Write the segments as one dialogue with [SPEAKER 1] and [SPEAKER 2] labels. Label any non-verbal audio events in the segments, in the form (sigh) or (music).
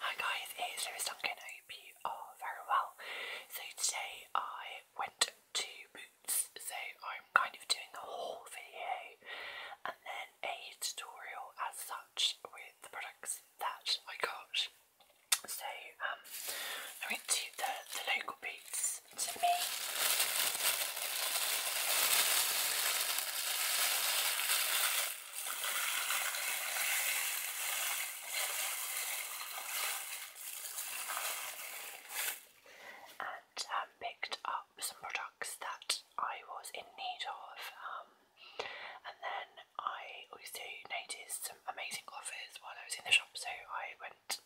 [SPEAKER 1] Hi guys, it's Lewis Duncan. I hope you are very well. So today I went to Boots, so I'm kind of doing a haul video and then a tutorial as such with the products that I got. So um, I went to the, the local Boots to me and um, picked up some products that I was in need of. Um, and then I also noticed some amazing offers while I was in the shop, so I went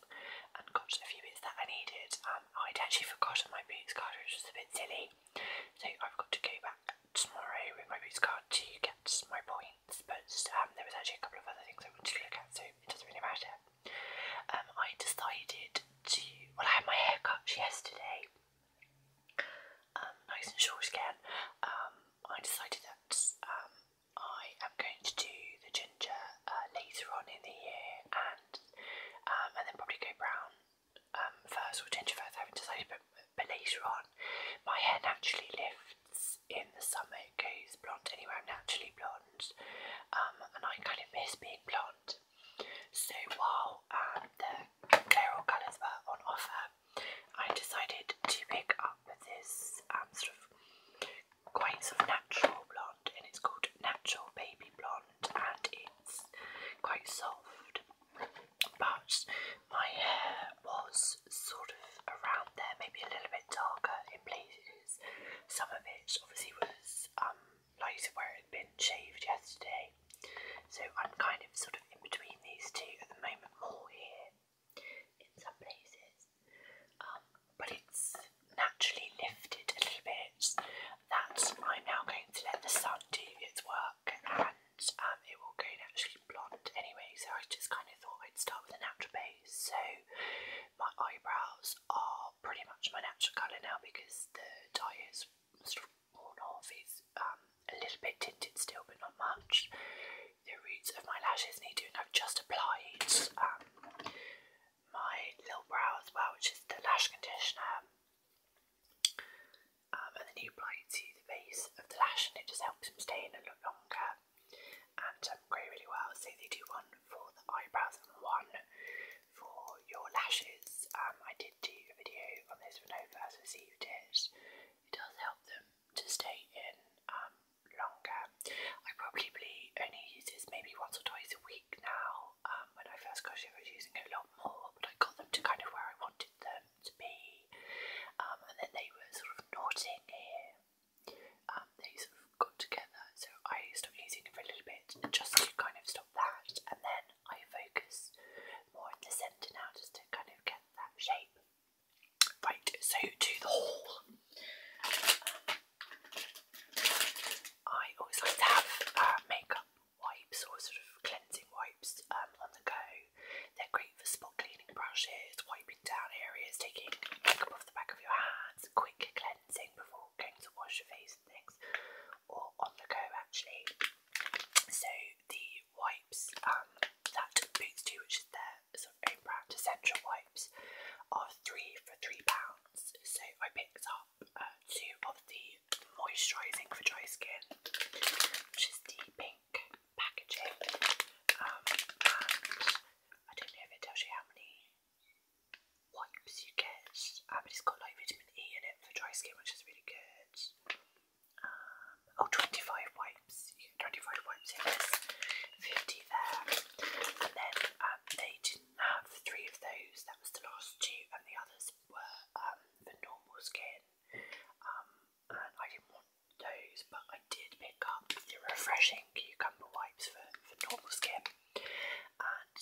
[SPEAKER 1] and got a few bits that I needed. I'd actually forgotten my boots card, which was a bit silly, so I've got to go back tomorrow with my boots card to get my points, but um, there was actually a couple of other things I wanted to look at, so it doesn't really matter. Um, I decided to, well, I had my hair cut yesterday, um, nice and short again. Um, I decided that um, I am going to do the ginger uh, later on in the year, and um, and then probably go brown um, first or ginger first. I haven't decided, but but later on, my hair naturally lifts in the summer, it goes blonde. Anyway, I'm naturally blonde, um, and I kind of miss being blonde. So while um, the Clairol colours were on offer, I decided to pick up this um, sort of quite sort of natural blonde, and it's called Natural Baby Blonde, and it's quite soft. But my hair was sort of around there, maybe a little bit darker in places. Some of it obviously was um like where it had been shaved yesterday. So I'm kind of sort of in between these two at the moment, more here in some places. Um, but it's naturally lifted a little bit. That I'm now going to let the sun do its work and um, it will go actually blonde anyway so I just kind of thought I'd start with a natural base so my eyebrows are pretty much my natural colour now because the dye is sort of worn off it's um, a little bit tinted still but not much the roots of my lashes need doing I've just applied um, my little brow as well which is the lash conditioner um, and then you apply it to the base of the lash and it just helps them stay in a lot longer and um, grow really well. So they do one for the eyebrows and one for your lashes. Um, I did do a video on this when I first received it. It does help them to stay in um, longer. I probably only use this maybe once or twice a week now. when I first got it I was using it a lot more but I got them to kind of where I wanted them to be, um, and then they were sort of knotting here. Um, they sort of got together, so I stopped using it for a little bit and just to kind of stop that, and then I focus more in the centre now just to kind of get that shape. Right, so to the haul. Um, I always like to have uh, makeup wipes or sort of cleansing wipes um, on the go they're great for spot cleaning brushes, wiping down areas, taking makeup off the back of your hands, quick cleansing before going to wash your face and things, or on the go actually. So the wipes um, that Boots do, which is their sort of own brand essential wipes, are three for three pounds. So I picked up uh, two of the moisturising for dry skin, which is the pink packaging. Um, I don't know if it tells you how many wipes you get. Um, it's got like vitamin E in it for dry skin, which is really good. Um, oh, wipes. 25 wipes in this, 50 there. And then um, they didn't have three of those. That was the last two, and the others were um, for normal skin. Um, and I didn't want those, but I did pick up the refreshing cucumber wipes for, for normal skin. And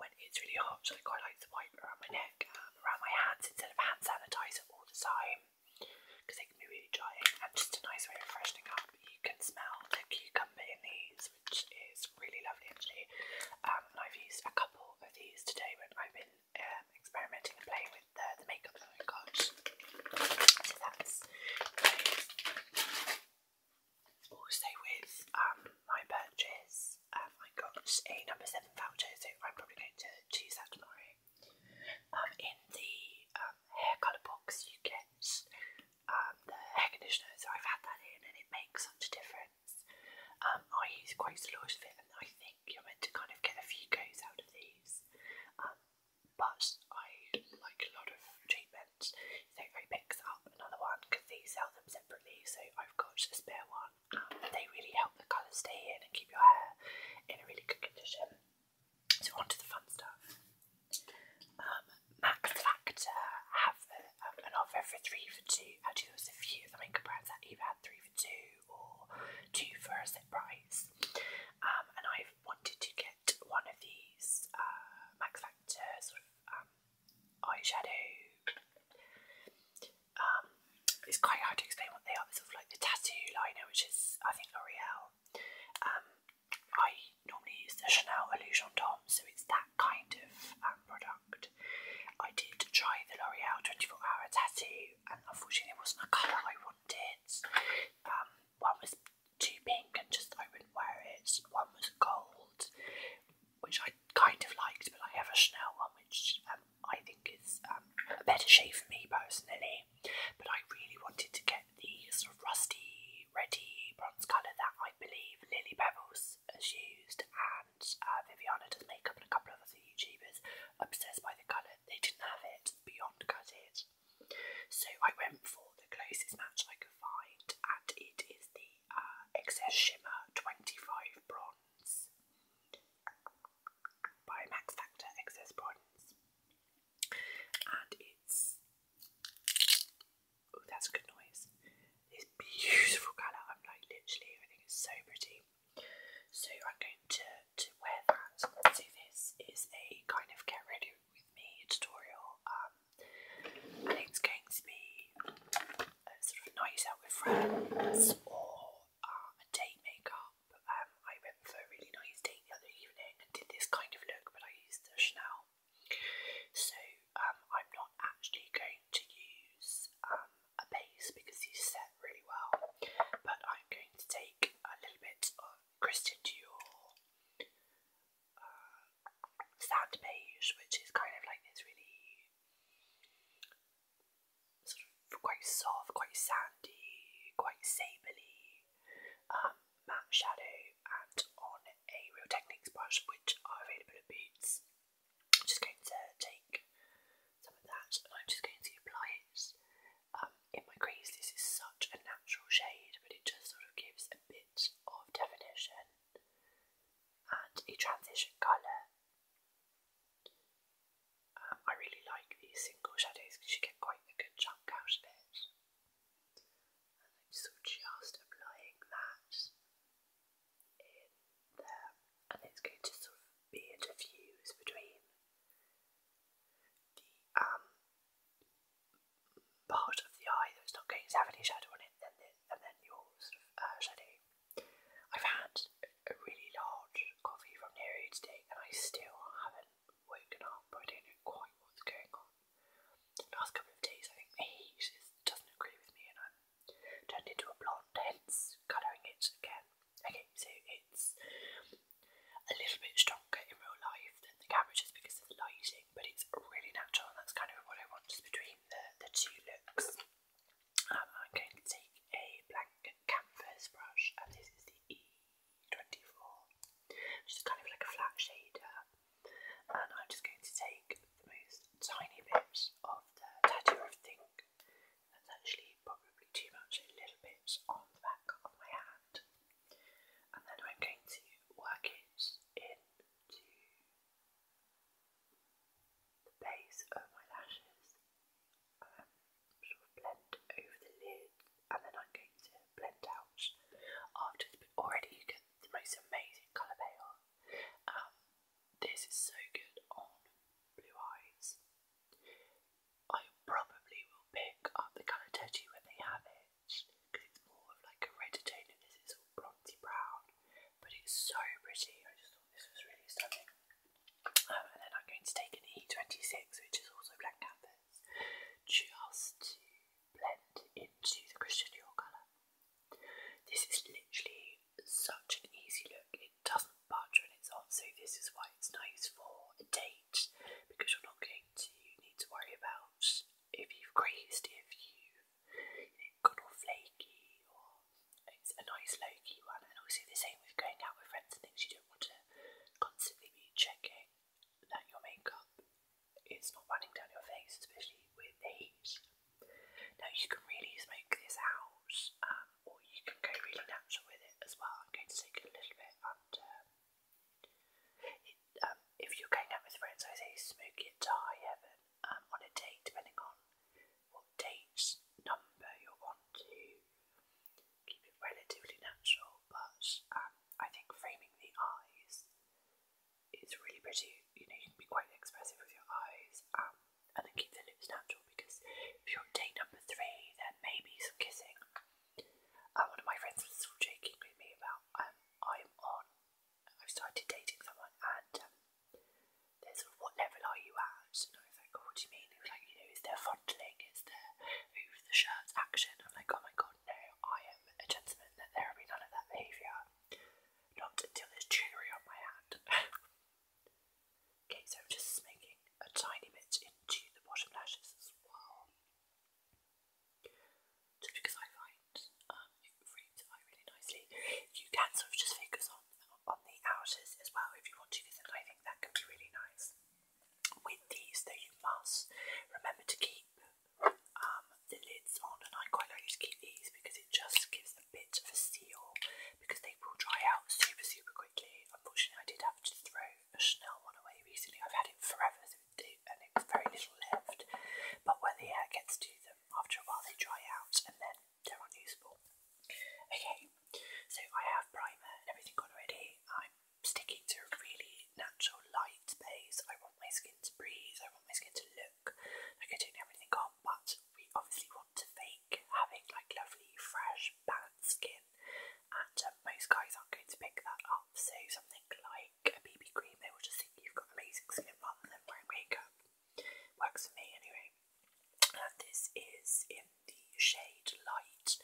[SPEAKER 1] when it's really hot, so I quite like to wipe around my neck and around my hands instead of hand sanitizer all the time because they can be really drying and just a nice way of freshening up. You can smell the cucumber in these, which is really lovely actually. Um, I've used a couple of these today when I've been um, experimenting and playing with the, makeup that I got. So that's with um, my purchase, um, I got a number seven voucher, so I'm probably going to choose that tomorrow. Um, in the hair colour box you get the hair conditioner, so I've had that in and it makes such a difference. I use quite a lot of it and I think you're meant to kind of get a few goes out of these um, but I like a lot of treatments, so I picked up another one because they sell them separately. So I've got a spare one. Um, they really help the colour stay in and keep your hair in a really good condition. So on to the fun stuff. Um, Mac Factor have a, um, an offer for three for two. Actually, there was a few of the makeup brands that even three for two or two for a set price. Um, and I've wanted to get one of these uh, Max Factor sort of um, eyeshadow. Um, it's quite hard to explain what they are. It's sort of like the tattoo liner, which is I think L'Oreal. I normally use the Chanel Allusion Tom, so it's that kind of product. I did try the L'Oreal 24 Hour Tattoo, and unfortunately, it wasn't a colour I wanted. Um, one was too pink and just I wouldn't wear it. One was gold, which I kind of liked, but I have a Chanel one which um, I think is um, a better shade for me personally. But I really wanted to get the sort of rusty, reddy bronze colour that I believe Lily Pebbles has used and uh, Viviana does makeup and a couple of other YouTubers obsessed by the colour they didn't have it beyond gutted. So I went for the closest match I could find, and it is the Excess uh, Shimmer 25 Bronze by Max Factor Excess Bronze. And it's. Oh, that's a good noise. This beautiful colour. I'm like, literally, I think so pretty. So I'm going to, to wear that. So this is a kind of get ready with me tutorial um, and it's going to be a night out with friends or um, a date makeup. Um, I went for a really nice date the other evening and did this kind of look but I used Chanel. So I'm not actually going to use a base because these set really well but I'm going to take a little bit of Christian uh, Sand Beige, which is kind of like this really sort of quite soft, quite sandy, quite sably um, matte shadow, on a Real Techniques brush, which are available at Boots. I'm just going to take some of that and I'm just going to apply it um, in my crease, this is such a natural shade, but it just sort of gives a bit of definition and a transition colour. Um, I really like these single shadows because you get quite a good chunk out of it. And I'm just applying that in there, and it's going to sort of be a diffused between the um, part of the eye that's not going to have any shadow on it, and then your sort uh, I've had a really large coffee from Nero today, and I still haven't woken up. I don't know quite what's going on. last couple of days, I think the heat just doesn't agree with me, and I'm turned into a blonde, hence colouring it again. Okay, so it's a little bit stronger in real life than the camera just because of the lighting, but it's really natural, and that's kind of what I want just between the, the two looks. Um, I'm going to take a black canvas brush, and this is the E24, which is kind of like a flat shader, and I'm just going to take the most tiny bits of the tattoo of think. That's actually probably too much, a little bit on the back of my hand hand. And then I'm going to work it into the base of my lashes. Um, sort of blend over the lid, and then I'm going to blend out after. But already you get the most amazing colour payoff. Um, this is so good on blue eyes. I probably will pick up the colour Teddy when they have it because it's more of like a red tone and this is all bronzy brown, but it's so pretty. I just thought this was really stunning. Um, and then I'm going to take an E26, which is also black canvas, just to blend into the Christian Dior colour. This is literally such an easy look. It doesn't budge and it's on, so this is why it's nice for a day age because you're not going to need to worry about if you've grazed, if you've you know, flaky, or a nice low key one. And also the same with going out with friends and things, you don't want to constantly be checking that your makeup is not running down your face, especially with heat. Now you can really smoke this out, um, or you can go really natural with it as well. I'm going to take a little bit under. It, um, if you're going out with friends, I say smoke your tie, Evan, um, on a date, depending on what date number you want to keep it relatively natural. But um, I think framing the eyes is really pretty. You know, you can be quite expressive with your eyes, um, and then keep the lips natural because if you're at date number three, there may be some kissing. And one of my friends was still joking with me about um, I'm on, I've started dating someone and um, they're sort of, what level are you at? And I was like, oh, what do you mean? It was like, you know, is there fondling? Is there move the shirts action? I'm like, oh my god, no, I am a gentleman, that there will be none of that behaviour. Not until there's jewellery on my hand. (laughs) okay, so I'm just smoking a tiny bit into the bottom lashes as well just because I find um, it frames it really nicely. You can sort of just focus on on the outers as well if you want to, because I think that can be really nice. With these, though, you must remember to keep um, the lids on, and I quite like to keep these because it just gives a bit of a seal because they will dry out super super quickly. Unfortunately, I did have to throw a Chanel away recently. I've had it forever, so it, and it's very little left. But when the air gets to them, after a while they dry out and then they're unusable. Okay, so I have primer and everything on already. I'm sticking to a really natural light base. I want my skin to breathe. I want my skin to look like I don't have anything on, but we obviously want to fake having like lovely, fresh, balanced skin and um, most guys aren't going to pick that up. So something like a BB cream, they will just think you've got amazing skin rather than wearing makeup. Works for me anyway. And this is in the shade light,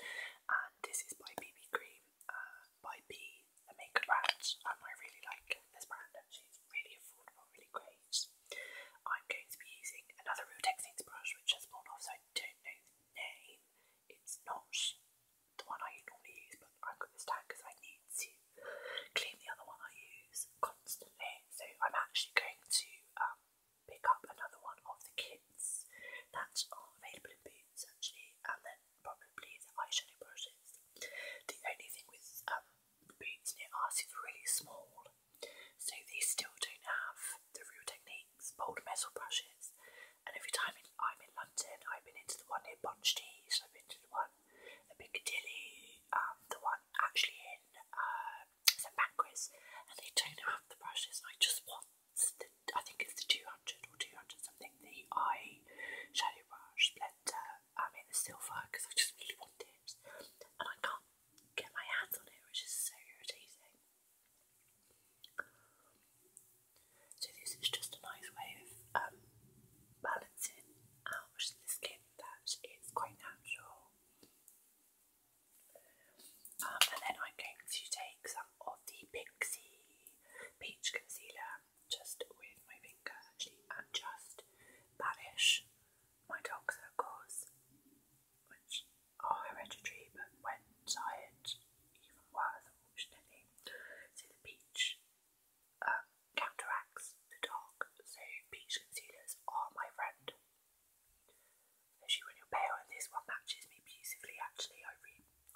[SPEAKER 1] and this is by BB cream uh, by B, the makeup brand, and I really like this brand. and she's really affordable, really great. I'm going to be using another Real Techniques brush, which has fallen off, so I don't know the name. It's not the one I normally use, but I've got this down because I need to clean the other one I use constantly. So I'm actually going to um, pick up another one of the kits that are available in Boots actually, and then probably the eyeshadow brushes. The only thing with um, Boots near us is really small, so they still don't have the real technique things, old metal brushes. And every time I'm in London, I've been into the one near Bond Street, I've been to the one at Piccadilly, um, the one actually in uh, St Pancras, and they don't have the brushes. And I just want the, I think it's the 200 or 200 something, the eye shadow brush blender um, in the silver because I just really want it, and I can't get my hands on it, which is so irritating. So this is just a nice way of um, balancing out the skin that it's quite natural. Um, and then I'm going to take some of the Pixie Peach Concealer just with my finger actually and just banish my dark circles, are hereditary but when desired even worse unfortunately. So the peach um, counteracts the dark, so peach concealers are my friend. Especially when you're pale and this one matches me beautifully actually.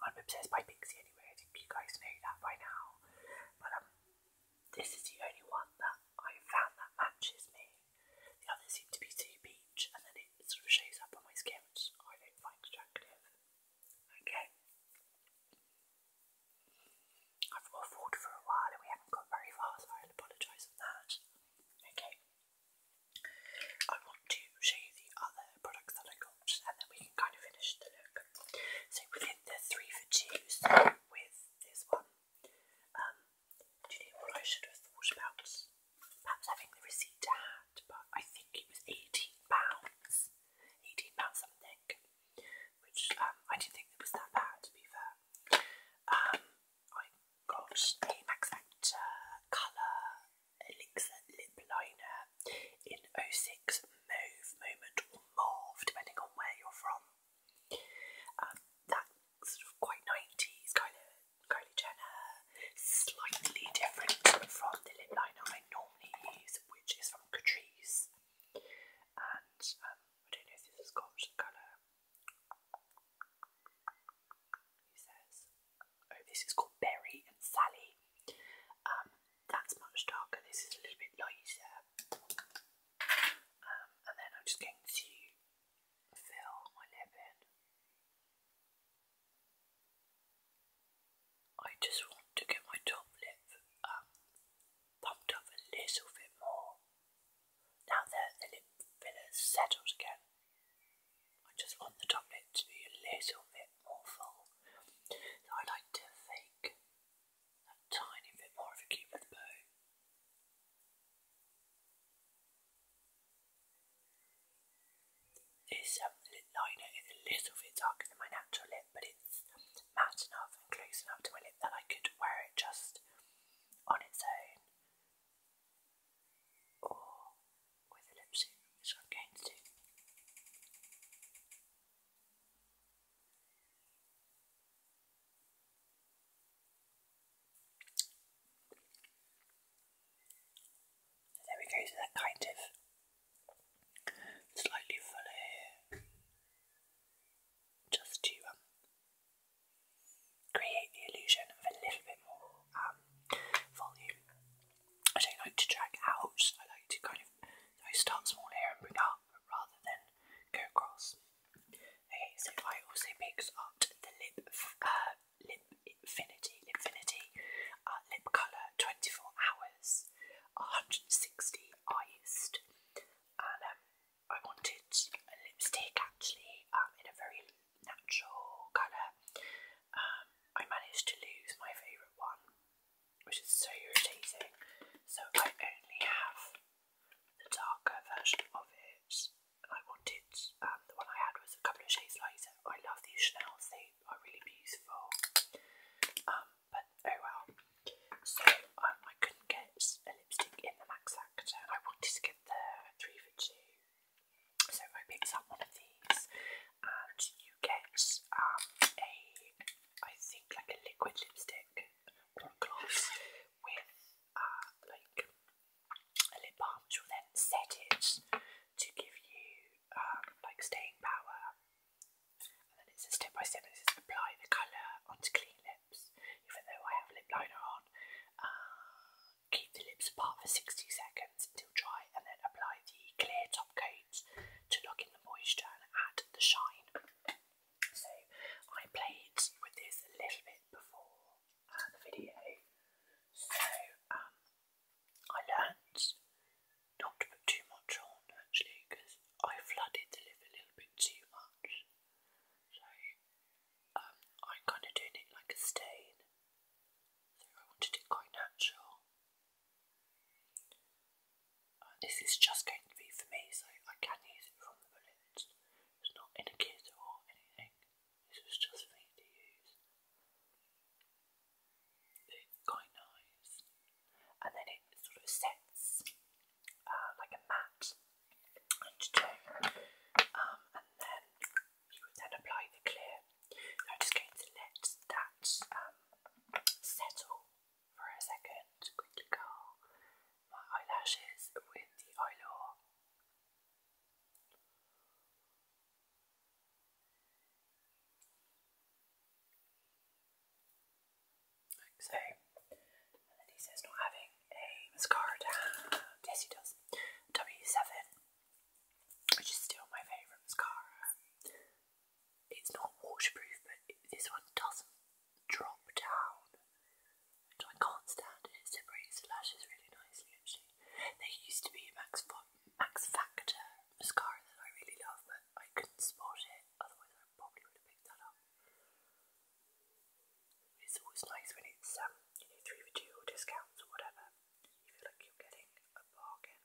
[SPEAKER 1] I am obsessed by Pixie anyway, I think you guys know that by now. But um this is the only one that I found that matches me. The others seem to be too peach and then it sort of shows up on my skin I don't find attractive. Okay. I've waffled for a while and we haven't got very far, so I apologise for that. Okay. I want to show you the other products that I got and then we can kind of finish the look. So within the three for twos with this one, um, do you know what I should have thought about? perhaps having the receipt to but I think it was eighteen pounds, eighteen pounds something, which um, I didn't think it was that bad to be fair. Um, I got a Max Factor Colour Elixir Lip Liner in 06 Mauve Moment or Mauve, depending on where you're from. Um, that sort of quite 90s, Kylie, Kylie Jenner slightly different from the lip liner I normally use, which is from Catrice. And um, I don't know if this has got the colour. He says, oh, this is called Berry and Sally. Um, that's much darker. This is a little bit lighter. Um, and then I'm just going to fill my lip in. I just want to get my top lip um, pumped up a little bit more. Now that the lip filler's settled again, I just want the top lip to be a little bit more full. So I like to fake a tiny bit more of a cupid's bow. This um, liner is a little bit darker than my natural lip, but it's matte enough and close enough to my lip that I could wear it just on its own or with a lipstick, which I'm going to do. So there we go, so that kind of slightly fuller just to um, create the illusion of a little bit more um, volume. I don't like to drag out, I like to kind of start small here and bring up rather than go across. Okay, so I also picked up the lip uh, Lipfinity, Lipfinity, uh, lip colour, 24 hours, 160 I and um, I wanted a lipstick actually um, in a very natural colour. Um, I managed to lose my favourite one, which is so irritating, so I only have the darker version of it. I wanted um, the one I had was a couple of shades lighter. I love these Chanel's, are really beautiful. Um, but oh well. So um, I couldn't get a lipstick in the Max I wanted to get the three for two. So I picked up one of these, and you get um, a I think like a liquid lipstick or gloss with uh, like a lip balm, which will then set it to give you um, like staying power. And then it says step by step, This is apply the colour onto clean lips, even though I have lip liner on. Uh, keep the lips apart for 60 seconds until dry, and then apply the clear top coat to lock in the moisture and add the shine. So I played with this a little bit before uh, the video, so um, I learned not to put too much on actually because I flooded the lip a little bit too much. So I'm um, kind of doing it like a stain. So I wanted it quite natural. Uh, this is just going to be for me, so I can use it from the bullet. It's not in a kit or anything. This was just for me to use. It's quite nice. And then it sort of sets uh, like a mat um, and then you would then apply the clear. I'm just going to let that um, settle for a second, quickly curl my eyelashes with the eyelure so. And then he says not having a mascara Yes, he does. W7, which is still my favourite mascara. It's not waterproof, but this one doesn't drop down. Which I can't stand it. separates the lashes really nicely actually. They used to be Max, Max Factor mascara that I really love, but I couldn't spot it, otherwise I probably would have picked that up. It's always nice when it's um, three for two or discounts or whatever. You feel like you're getting a bargain.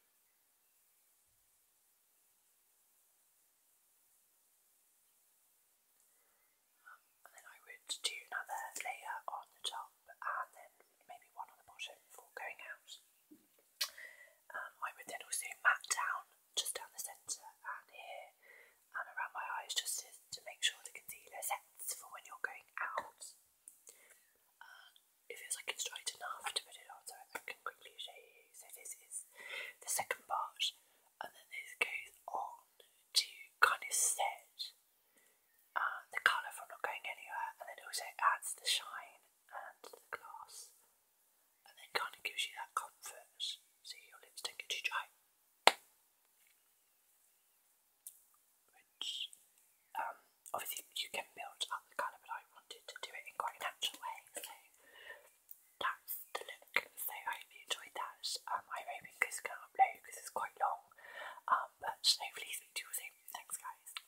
[SPEAKER 1] Um, and then I would do another layer on the top and then maybe one on the bottom before going out. Um, I would then also mat down just down the centre and here and around my eyes just to, make sure the concealer sets for when you're going out. Um, it feels like it's dried enough to put it on so I can quickly show you. So this is the second part and then this goes on to kind of set uh, the colour from not going anywhere and then also adds the shine and the glass, and then kind of gives you that comfort. See your lipstick and you try. Which, um, obviously you can build up the colour, but I wanted to do it in quite a natural way, so that's the look. So I hope you enjoyed that. Um, I'm hoping this can upload because it's quite long, um, but hopefully speak to you soon. Thanks, guys.